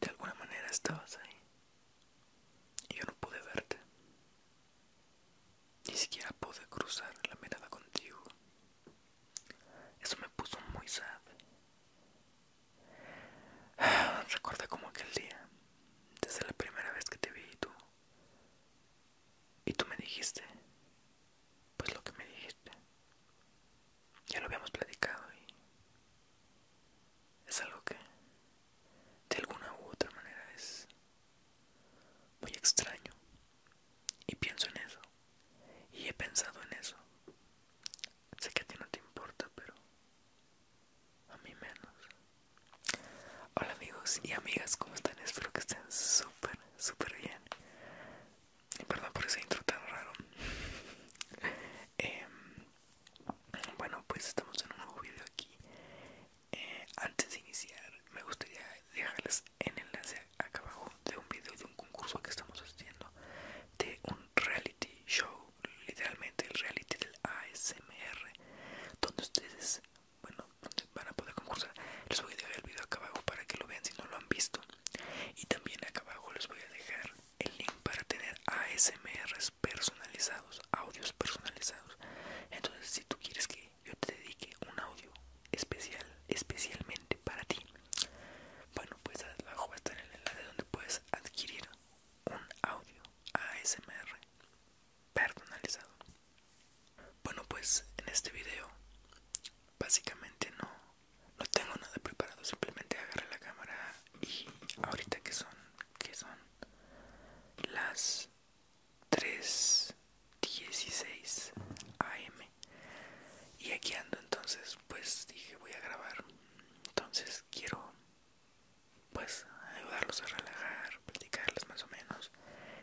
De alguna manera estabas ahí. Y yo no pude verte. Ni siquiera pude cruzar la mirada contigo. Eso me puso muy sad. Recuerda como aquel día, desde la primera vez que te vi y tú. Y tú me dijiste pues lo que me dijiste. Ya lo habíamos platicado y es algo que de alguna u otra manera es muy extraño. Y pienso en eso. Y he pensado en eso. Sé que a ti no te importa, pero a mí menos. Hola amigos y amigas, ¿cómo están? Espero que estén súper, súper bien. Perdón por ese intro tan raro. Em, bueno, pues estamos en un nuevo video aquí. Eh, antes de iniciar, me gustaría dejarles el enlace acá abajo de un video de un concurso que estamos haciendo de un reality show, literalmente el reality del ASMR, donde ustedes, bueno, van a poder concursar. Les voy a dejar el video acá abajo para que lo vean si no lo han visto. Y también acá abajo les voy a dejar el link para tener ASMRs personalizados, audios personalizados. Entonces, si tú quieres que yo te dedique un audio especial, especialmente para ti, bueno, pues abajo va a estar el enlace donde puedes adquirir un audio ASMR personalizado. Bueno, pues en este video básicamente no no tengo nada preparado, simplemente agarré la cámara y ahorita que son, que son las 3.16 am y aquí ando entonces pues dije voy a grabar entonces quiero pues ayudarlos a relajar platicarles más o menos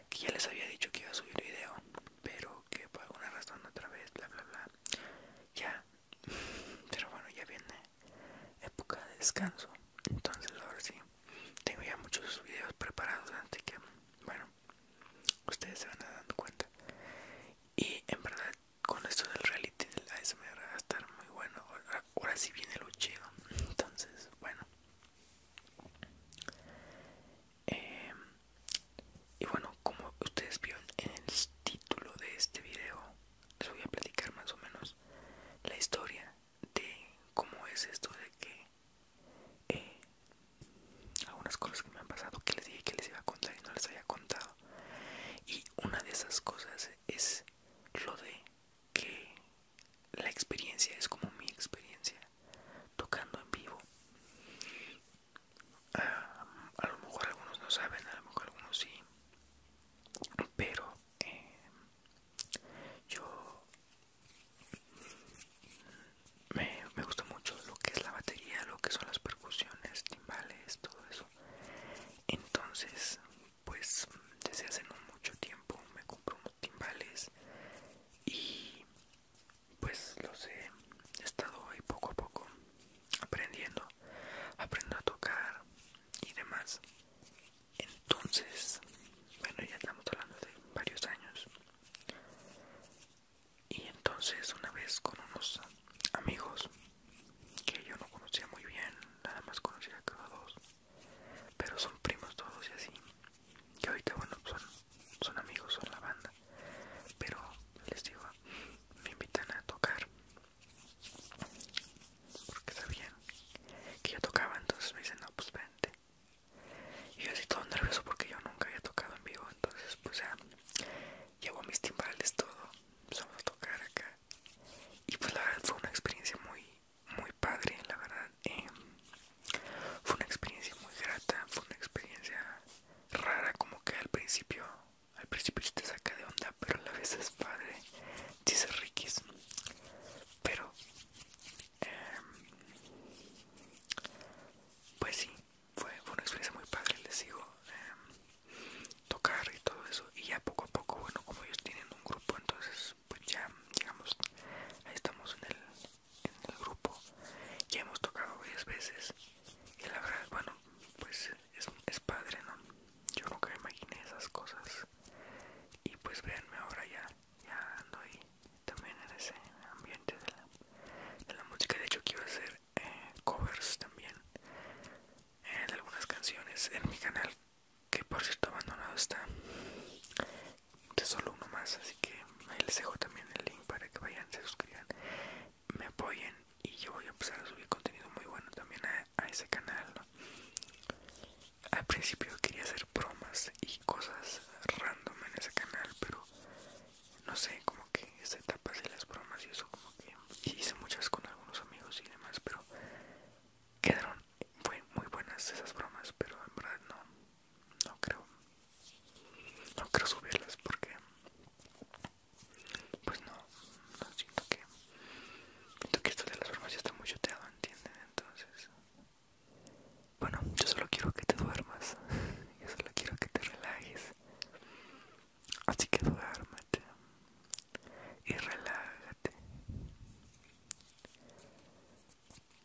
que ya les había dicho que iba a subir video pero que por alguna razón otra vez, bla, bla, bla. Ya, pero bueno, ya viene época de descanso. Entonces ahora sí, tengo ya muchos videos preparados, así que, bueno, ustedes se van a dar cuenta. Y en verdad, con esto del reality del me va a estar muy bueno. Ahora, ahora sí viene lo chido. Entonces, bueno. Eh, y bueno como ustedes vieron en el título de este video les voy a platicar más o menos la historia de cómo es esto de que eh, algunas cosas que me han pasado que les dije que les iba a contar y no les había contado y una de esas cosas es lo de que la experiencia es como mi experiencia tocando en vivo Ah, a lo mejor algunos no saben, a lo mejor algunos sí, pero eh, yo me, me gusta mucho lo que es la batería, lo que son las percusiones, timbales, todo eso. Entonces, pues desde hace no mucho tiempo me compro unos timbales y pues los he estado ahí poco a poco aprendiendo aprendo a tocar y demás entonces bueno ya estamos hablando de varios años y entonces una vez con unos amigos que yo no conocía muy bien nada más conocía cada dos pero son primos todos y así y ahorita bueno son, son amigos son la banda pero les digo me invitan a tocar porque sabían que yo tocaba entonces me dicen no pues vente y yo así todo nervioso porque yo nunca había tocado en vivo entonces pues ya llevo mis timbales todo vamos a tocar acá y pues la verdad fue una experiencia muy muy padre la verdad em, fue una experiencia muy grata fue una experiencia rara como que al principio al principio te saca de onda pero a la vez es padre dice Rikis pero em, pues sí fue, fue una experiencia muy padre les digo em, tocar y todo eso y ya poco a poco bueno como ellos tienen un grupo entonces pues ya digamos ahí estamos en el en el grupo ya hemos tocado varias veces y la verdad bueno pues es, padre no yo nunca imaginé esas cosas y pues véanme ahora ya ya ando ahí también en ese ambiente de la, música de hecho quiero hacer eh, covers también en eh, algunas canciones en mi canal que por cierto abandonado está de solo uno más así que ahí les dejo también el link para que vayan se suscriban me apoyen y yo voy a empezar a subir contenido muy bueno también a, ese canal. Al principio quería hacer bromas y cosas random en ese canal, pero no sé, como que esta etapa de las bromas y eso, como que hice muchas con algunos amigos y demás, pero quedaron muy, muy buenas esas bromas, pero en verdad no, no creo no quiero subirlas porque pues no, no siento que siento que esto de las formas ya está muy choteado entienden entonces bueno yo solo quiero que te duermas yo solo quiero que te relajes así que duérmate y relájate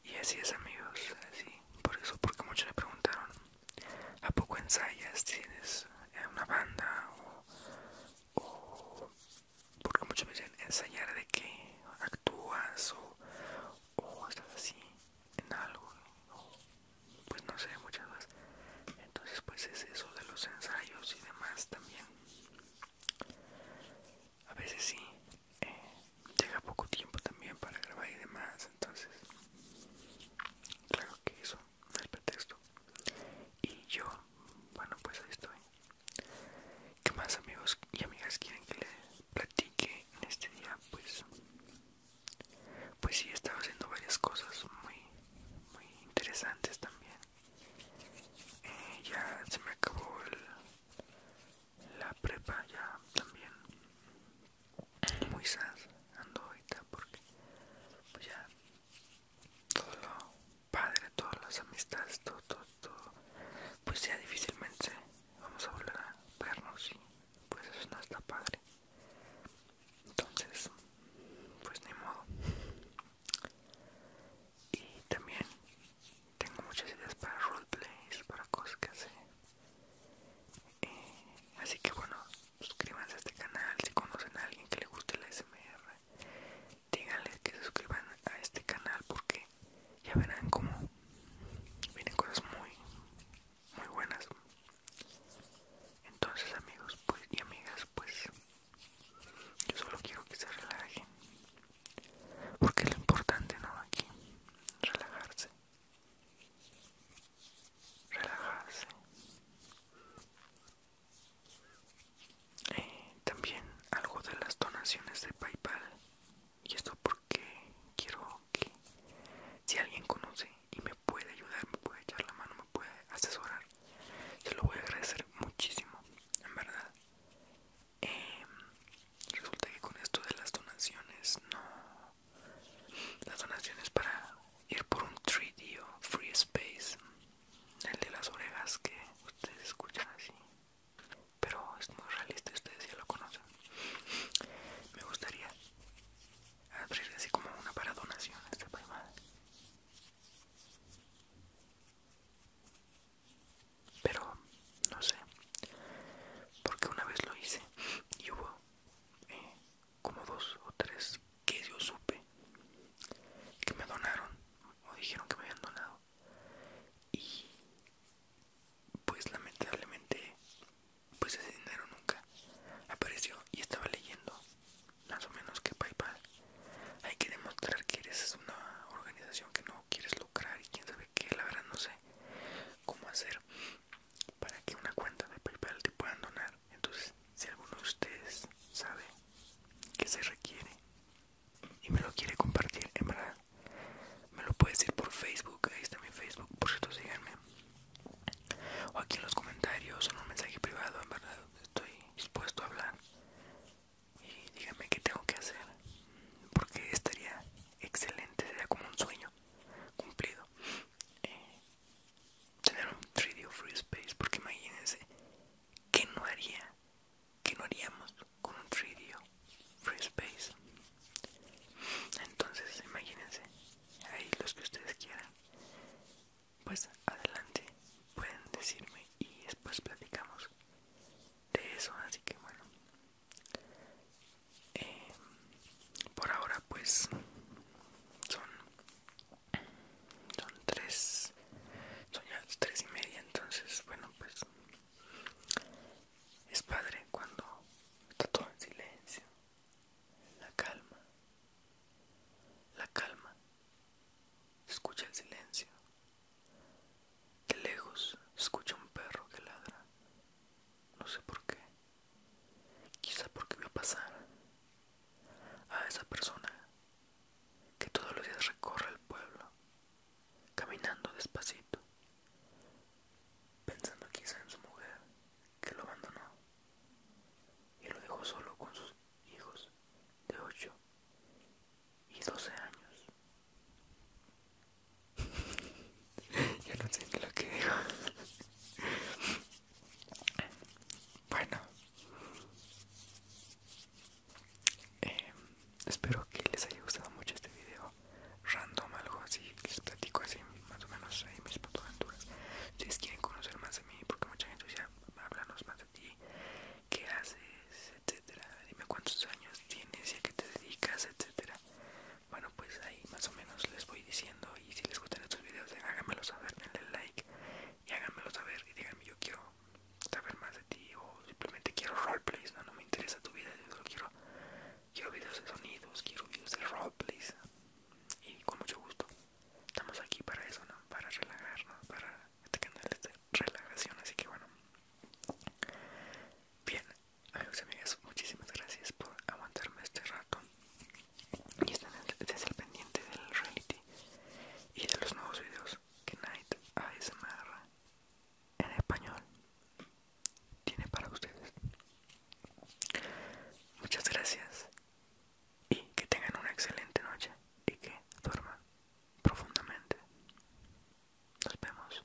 y así es amigos así por eso porque muchos le preguntaron ¿A poco ensayas? ¿Tienes eh, una banda? ¿O, porque muchos veces ensayar de qué? ¿Actúas? ¿O, estás así en algo? pues no sé, muchas veces, Entonces pues es eso de los ensayos y demás también. A veces sí, eh, llega poco tiempo también para grabar y demás, entonces claro que eso no es pretexto y yo bueno pues ahí estoy ¿Qué más amigos y amigas quieren que les platique en este día? Pues pues sí, he estado haciendo varias cosas muy, muy interesantes también. Eh, ya se me acabó la prepa, ya también muy sad ando ahorita porque pues ya todo lo padre, todas las amistades, todo, todo, todo, pues ya difícilmente vamos a volver a vernos y pues eso no está padre. Entonces, pues ni modo. Y también tengo muchas ideas para roleplays, para cosas que hacer. Eh, así que bueno, suscríbanse a este canal si conocen a alguien que le guste la SMR díganles que se suscriban a este canal porque ya verán como vienen cosas muy muy buenas entonces amigos pues y amigas pues yo solo quiero que se relajen porque es lo importante no aquí relajarse relajarse eh, también algo de las donaciones de paypal y esto porque quiero que si alguien conoce y me puede ayudar me puede echar la mano me puede asesorar se lo voy a agradecer muchísimo en verdad eh, resulta que con esto de las donaciones no las donaciones para ir por un 3D Free Space, el de las orejas que ustedes escuchan así, pero es muy realista, ustedes ya lo conocen. Me gustaría abrir así como una para donaciones de Pero no sé, porque una vez lo hice y hubo eh, como dos o tres que yo supe que me donaron o dijeron que me habían donado y pues lamentablemente pues ese dinero nunca apareció y estaba leyendo más o menos que PayPal hay que demostrar que eres una organización que no quieres lucrar y quién sabe qué la verdad no sé cómo hacer para que una cuenta de PayPal te puedan donar. Entonces, si alguno de ustedes sabe que se requiere y me lo quiere compartir, en verdad, me lo puede decir por Facebook. Ahí está mi Facebook, por cierto, síganme. O aquí en los comentarios, o en un mensaje privado, en verdad, estoy dispuesto a hablar. Y díganme qué tengo que hacer, porque estaría excelente, sería como un sueño cumplido. Eh, tener un 3D Free Space, porque imagínense, Que no haría? Que no haríamos con un 3D Free Space? Entonces, imagínense, ahí los que ustedes quieran, pues adelante, pueden decirme y después platicamos de eso, así que bueno. Eh, por ahora pues son son tres son ya tres y media entonces bueno pues es padre cuando está todo en silencio la calma la calma se escucha el silencio de lejos se escucha un perro que ladra no sé por qué Quizá porque vio pasar a esa persona que todos los días recorre el pueblo, caminando despacito, pensando quizá en su mujer que lo abandonó y lo dejó solo con sus hijos de 8 y 12 años. Ya no sé ni lo que digo. Bueno, em, espero que les haya gustado mucho este video random, algo así. Les platico así, más o menos, ahí mis aventuras. Si quieren conocer más de mí, porque mucha gente ya háblanos más de ti, qué haces, etcétera. Dime cuántos años tienes y a qué te dedicas, etcétera. Bueno, pues ahí más o menos les voy diciendo y si les gustan estos videos eh, háganmelo saber, denle like y háganmelo saber y díganme yo quiero saber más de ti o simplemente quiero roleplays, no, me interesa tu vida, yo solo quiero, quiero videos de sonidos, quiero videos de roleplays y con mucho gusto estamos aquí para eso, ¿no? para relajarnos, para este canal es de relajación, así que bueno. Bien, amigos y amigas, muchísimas gracias por aguantarme este rato y estén desde el pendiente del reality y de los nuevos videos que Night ASMR en español tiene para ustedes. Muchas gracias y que tengan una excelente noche y que duerman profundamente. Nos vemos.